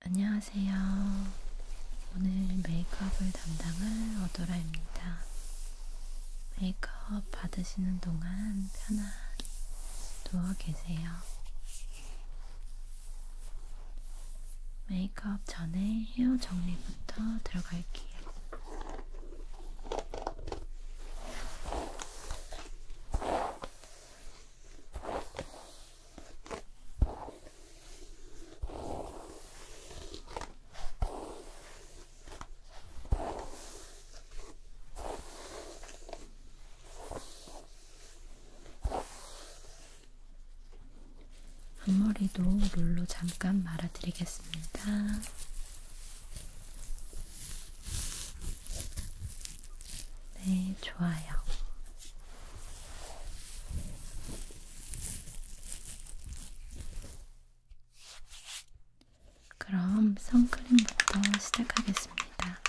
안녕하세요. 오늘 메이크업을 담당할 어도라입니다. 메이크업 받으시는 동안 편안히 누워 계세요. 메이크업 전에 헤어 정리부터 들어갈게요. 앞머리도 롤로 잠깐 말아드리겠습니다. 네, 좋아요. 그럼 선크림부터 시작하겠습니다.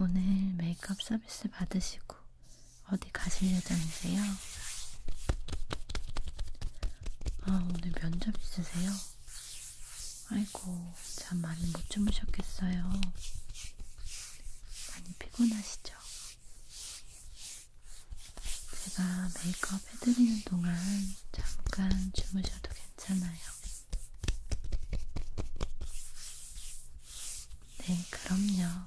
오늘 메이크업 서비스 받으시고 어디 가실 예정이세요? 아, 오늘 면접 있으세요? 아이고, 잠 많이 못 주무셨겠어요. 많이 피곤하시죠? 제가 메이크업 작업해드리는 동안 잠깐 주무셔도 괜찮아요. 네, 그럼요.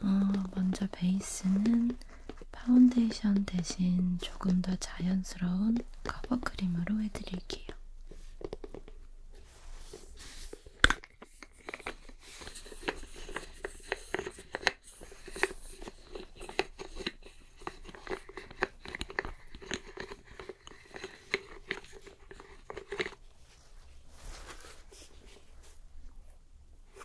어, 먼저 베이스는 파운데이션 대신 조금 더 자연스러운 커버 크림으로 해드릴게요.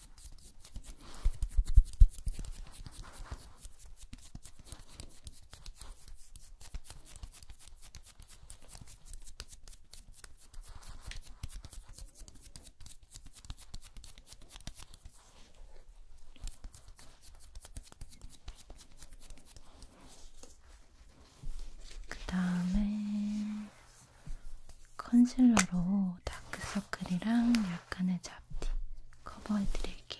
그 다음에 컨실러로 요 다크서클이랑 약간의 잡티 커버해 드릴게요.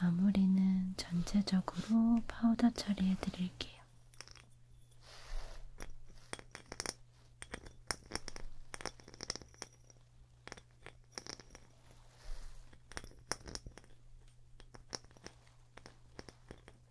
마무리는 전체적으로 파우더 처리해 드릴게요.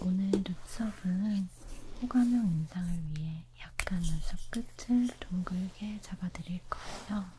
오늘 눈썹은 호감형 인상을 위해 약간 눈썹 끝을 동글게 잡아드릴 거예요.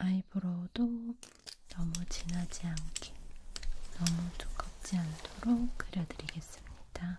아이브로우도 너무 진하지 않게, 너무 두껍지 않도록 그려드리겠습니다.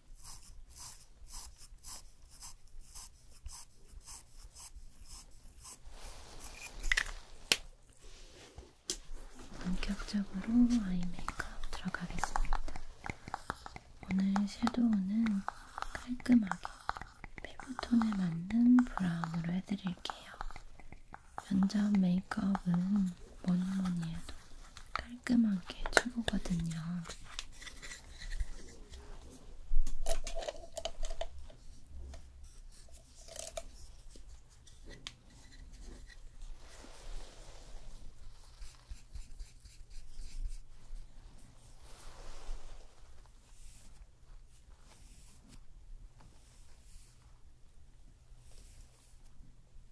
본격적으로 아이 메이크업 들어가겠습니다. 오늘 섀도우는 깔끔하게 피부톤에 맞는 브라운으로 해드릴게요. 면접 메이크업은 뭐니뭐니 해도 깔끔하게 최고거든요.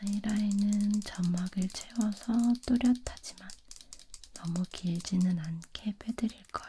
아이라인은 점막을 채워서 또렷하지만 너무 길지는 않게 빼드릴 거예요.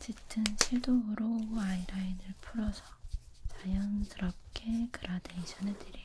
짙은 섀도우로 아이라인을 풀어서 자연스럽게 그라데이션 해드릴게요.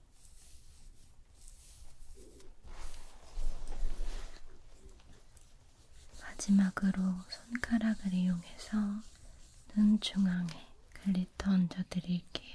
마지막으로 손가락을 이용해서 눈 중앙에 글리터 얹어드릴게요.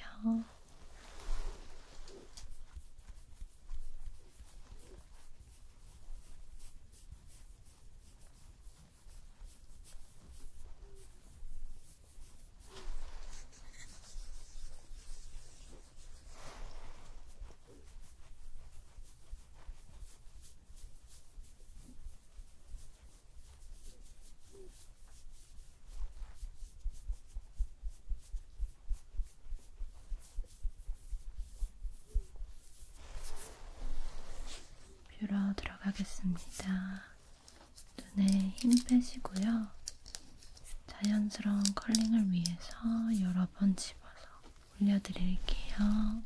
뷰러 들어가겠습니다. 눈에 힘 빼시고요. 자연스러운 컬링을 위해서 여러 번 집어서 올려드릴게요.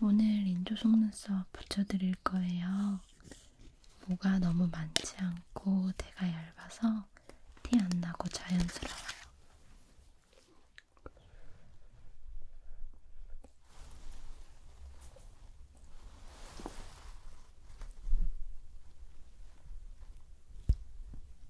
오늘 인조 속눈썹 붙여드릴 거예요. 뭐가 너무 많지 않고 대가 얇아서 티 안 나고 자연스러워요.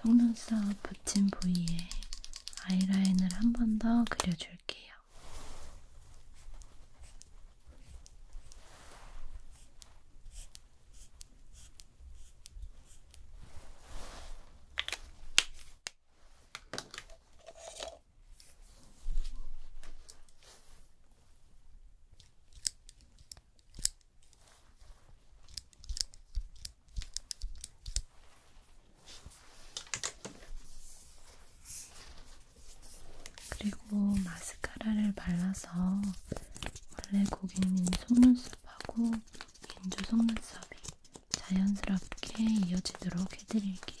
속눈썹 붙인 부위에 아이라인을 한 번 더 그려줄게요. 그리고 마스카라를 발라서 원래 고객님 속눈썹하고 인조 속눈썹이 자연스럽게 이어지도록 해드릴게요.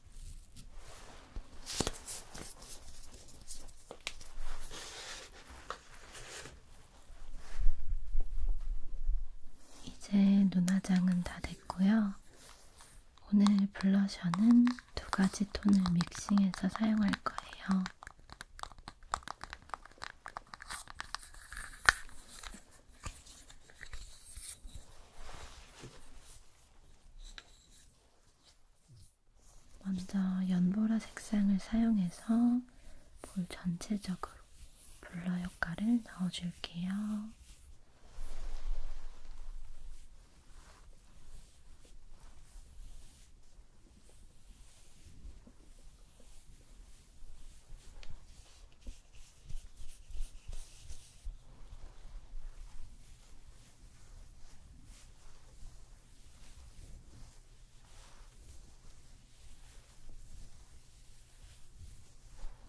이제 눈화장은 다 됐고요. 오늘 블러셔는 두 가지 톤을 믹싱해서 사용할 거예요. 먼저 연보라 색상을 사용해서 볼 전체적으로 블러 효과를 넣어줄게요.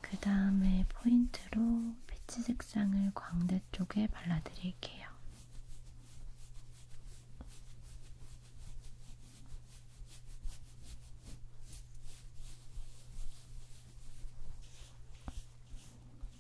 그 다음에 포인트로 피치 색상을 광대 쪽에 발라드릴게요.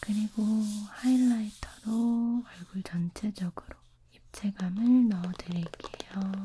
그리고 하이라이터로 얼굴 전체적으로 입체감을 넣어드릴게요.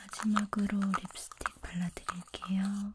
마지막으로 립스틱 발라드릴게요.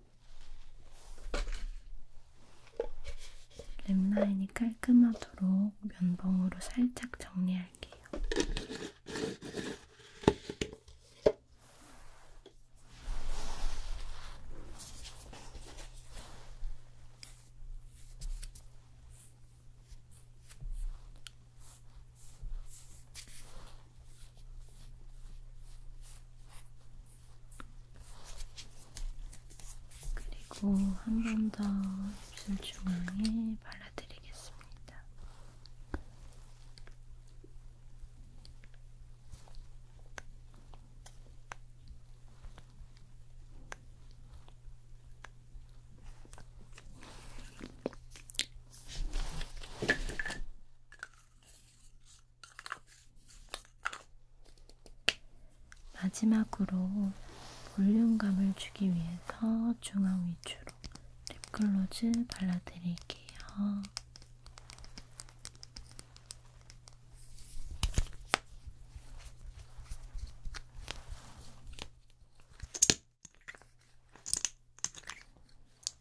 랩라인이 깔끔하도록 면봉으로 살짝 정리할게요. 그리고 한 번 더 입술 중앙에 발라드리겠습니다. 마지막으로 볼륨감을 주기 위해서 중앙 위주로 립글로즈 발라드릴게요.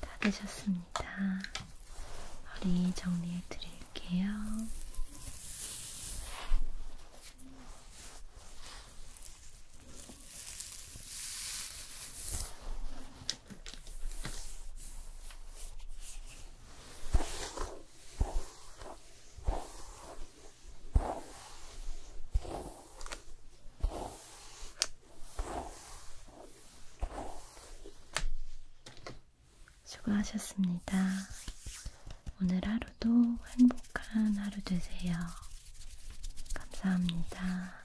다 되셨습니다. 머리 정리해 드릴게요. 수고하셨습니다. 오늘 하루도 행복한 하루 되세요. 감사합니다.